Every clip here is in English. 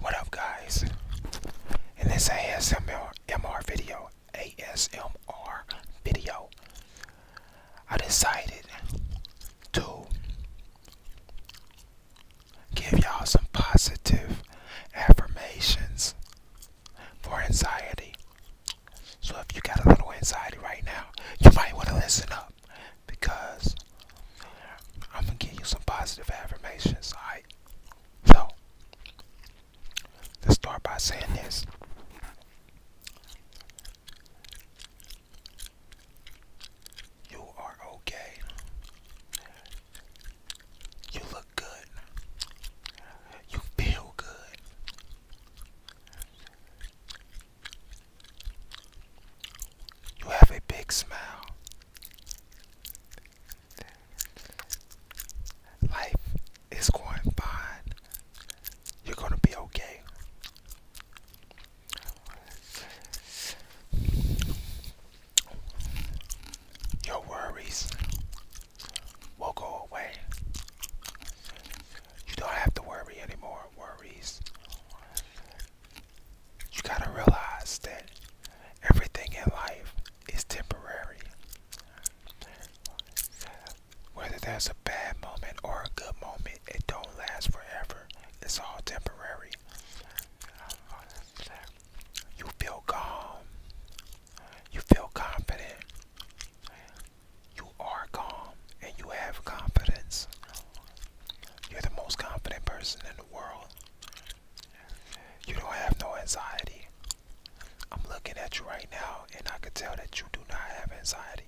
What up, guys? In this ASMR video, ASMR video, I decided to give y'all some positive affirmations for anxiety. So if you got a little anxiety right now, you might want to listen up because I'm gonna give you some positive affirmations, alright? So, let's start by saying this. You are okay. You look good. You feel good. You have a big smile. Life is going fine. You're going to be okay. Your worries will go away. You don't have to worry anymore. Worries you gotta realize that everything in life is temporary. Whether that's a bad moment or a good moment, it don't last forever. It's all temporary. You feel calm. You feel confident. You are calm and you have confidence. You're the most confident person in the world. You don't have no anxiety. I'm looking at you right now, and I can tell that you do not have anxiety.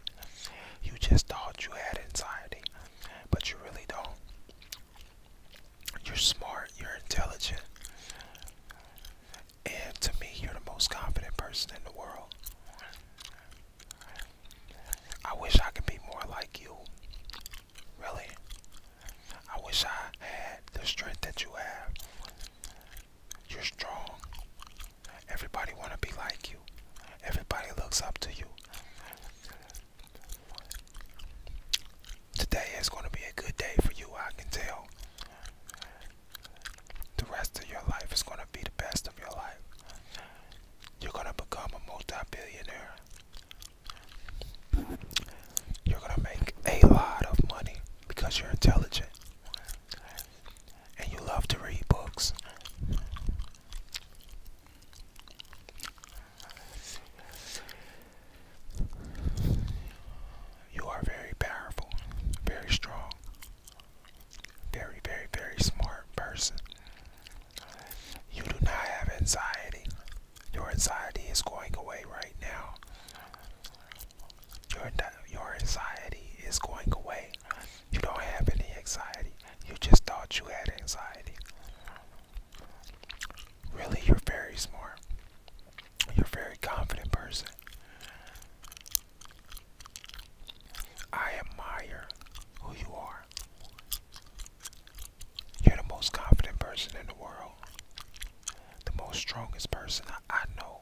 You just thought you had anxiety, but you really don't. You're smart, you're intelligent, and to me, you're the most confident person in the world. I wish I could be more like you. Really? I wish I had the strength that you have. You're strong. Everybody want to be like you. Everybody looks up to you. Today is going to be a good day for you, I can tell. The rest of your life is going to be the best of your life. You're going to become a multi-billionaire. You're gonna make a lot of money because you're intelligent and you love to read books. You are very powerful, very strong, very, very, very smart person. You do not have anxiety. Your anxiety is going away right now. Your, your anxiety is going away. You don't have any anxiety. You just thought you had anxiety. Really, you're very smart. You're a very confident person. I admire who you are. You're the most confident person in the world. The most strongest person I, know.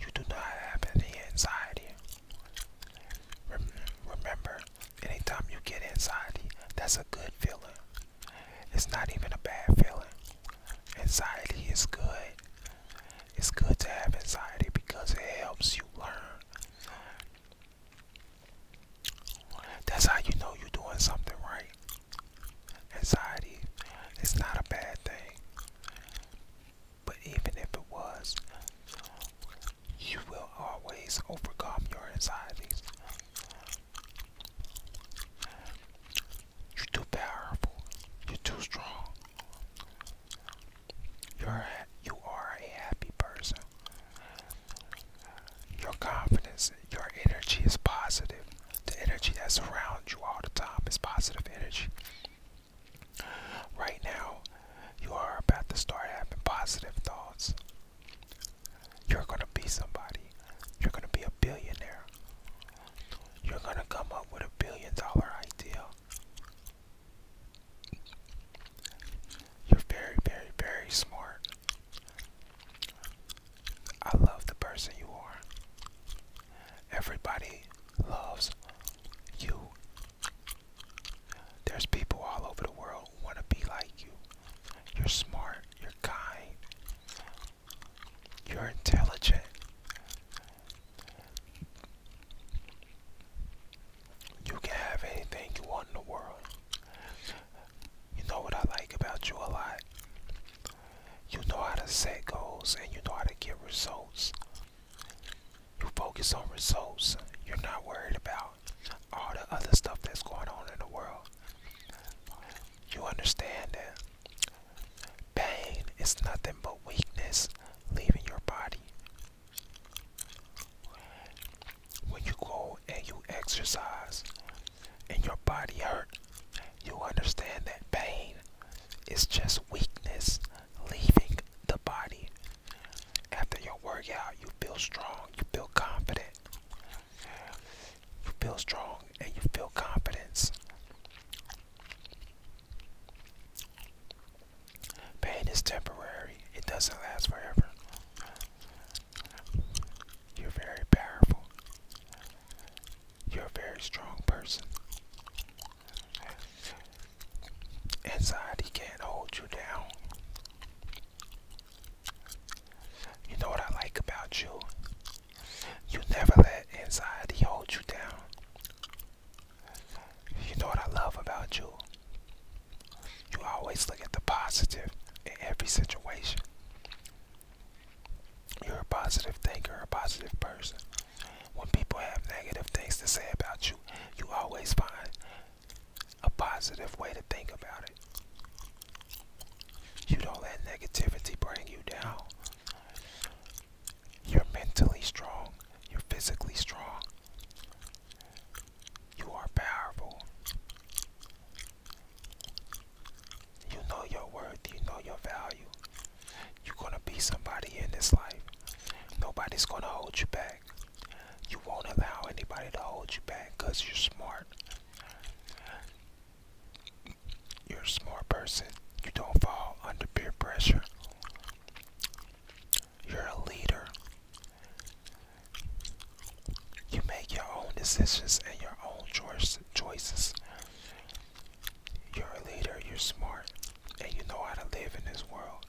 You do not have any anxiety. remember, anytime you get anxiety, that's a good feeling. It's not even a bad feeling. Anxiety is good. It's good to have anxiety because it helps you learn. That's how you know you're doing something right. Anxiety is not a bad thing. But even if it was, you will always overcome your anxieties. You're too powerful. You're too strong. You're you are a happy person. Your confidence, your energy is positive. The energy that surrounds you all the time is positive energy. Right now, you are about to start having positive thoughts. You're gonna be somebody. You're gonna be a billionaire. You're gonna come up with a billion dollar idea. You're very, very, very smart. I love the person you are. Everybody loves you. There's people all over the world who want to be like you. You're smart, you're kind, you're intelligent, you can have anything you want in the world. You know what I like about you a lot? You know how to set goals and you know how to get results. You focus on results. You're not worried about all the other stuff that's going on in the world. You understand that pain is nothing but weakness leaving your body when you go and you exercise and your body hurts, you understand that pain is just weakness leaving the body. After your workout, you feel strong, you feel confident. You feel strong and you feel confidence. Pain is temporary, it doesn't last forever. You're very powerful. You're a very strong person. Anxiety can't hold you down. You know what I like about you? You never let anxiety hold you down. You know what I love about you? You always look at the positive in every situation. You're a positive thinker, a positive person. When people have negative things to say about you, you always find a positive way to think about it. You don't let negativity bring you down. You're mentally strong. You're physically strong. You are powerful. You know your worth, you know your value. You're gonna be somebody in this life. Nobody's gonna hold you back. You won't allow anybody to hold you back because you're smart. You're a smart person. You don't fall under peer pressure. You're a leader. You make your own decisions and your own choices. You're a leader, you're smart, and you know how to live in this world.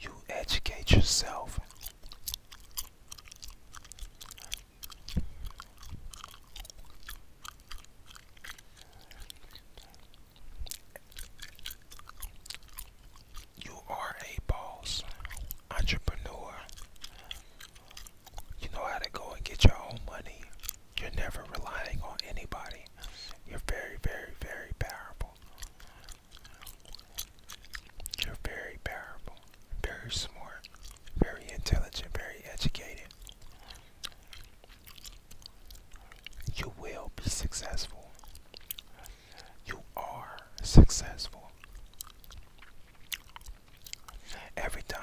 You educate yourself. You are a boss, entrepreneur. You know how to go and get your own money. You're never relying on anybody. You're very, very, very powerful. You're very powerful, very smart, very intelligent, very educated. You will be successful. You are successful. Every time,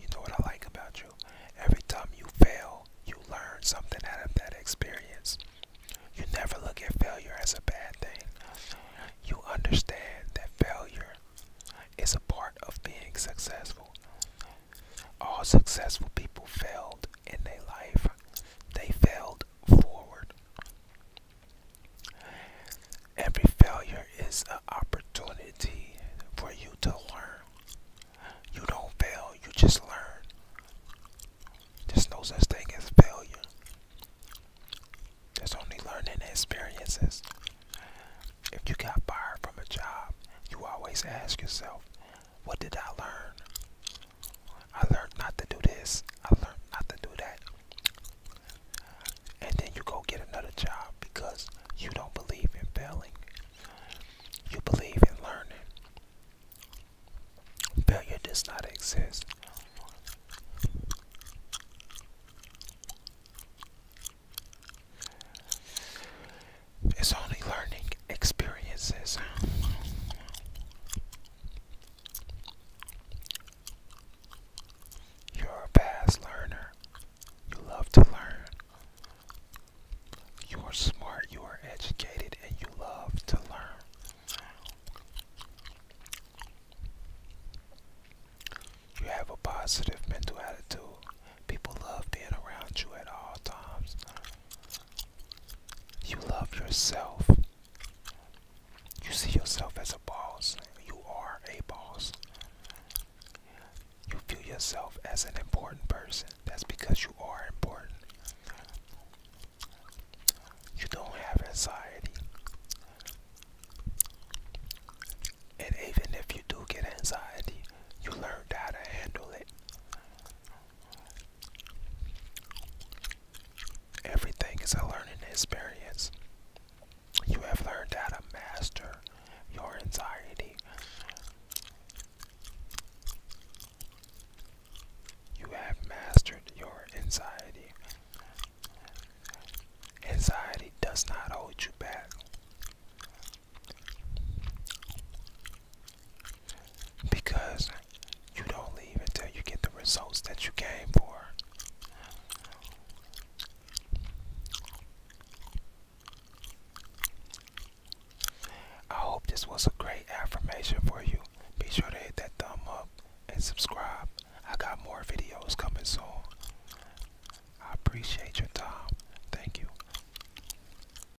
you know what I like about you? Every time you fail, you learn something out of that experience. You never look at failure as a bad thing. You understand that failure is a part of being successful. All successful people failed in their life, they failed forward. Every failure is an opportunity for you to learn. You don't fail, you just learn. There's no such thing as failure. There's only learning experiences. If you got fired from a job, you always ask yourself, what did I learn? I learned not to do this. I learned not to do that. And then you go get another job because you don't believe in failing. You believe in learning. Failure does not exist. It's only learning experiences. You're a fast learner. You love to learn. You are smart, you are educated, and you love to learn. You have a positive mental attitude. People love being around you at all times. You love yourself. You see yourself as a boss. You are a boss. You feel yourself as an important person. That's because you are important. You don't have anxiety. And even if you do get anxiety, you learn how to handle it. Everything is a learning experience. You have learned how to master your anxiety. You have mastered your anxiety. Anxiety does not hold you back. Because you don't leave until you get the results that you came for. I hope this was a great affirmation for you. Be sure to hit that thumb up and subscribe. I got more videos coming soon. I appreciate your time. Thank you.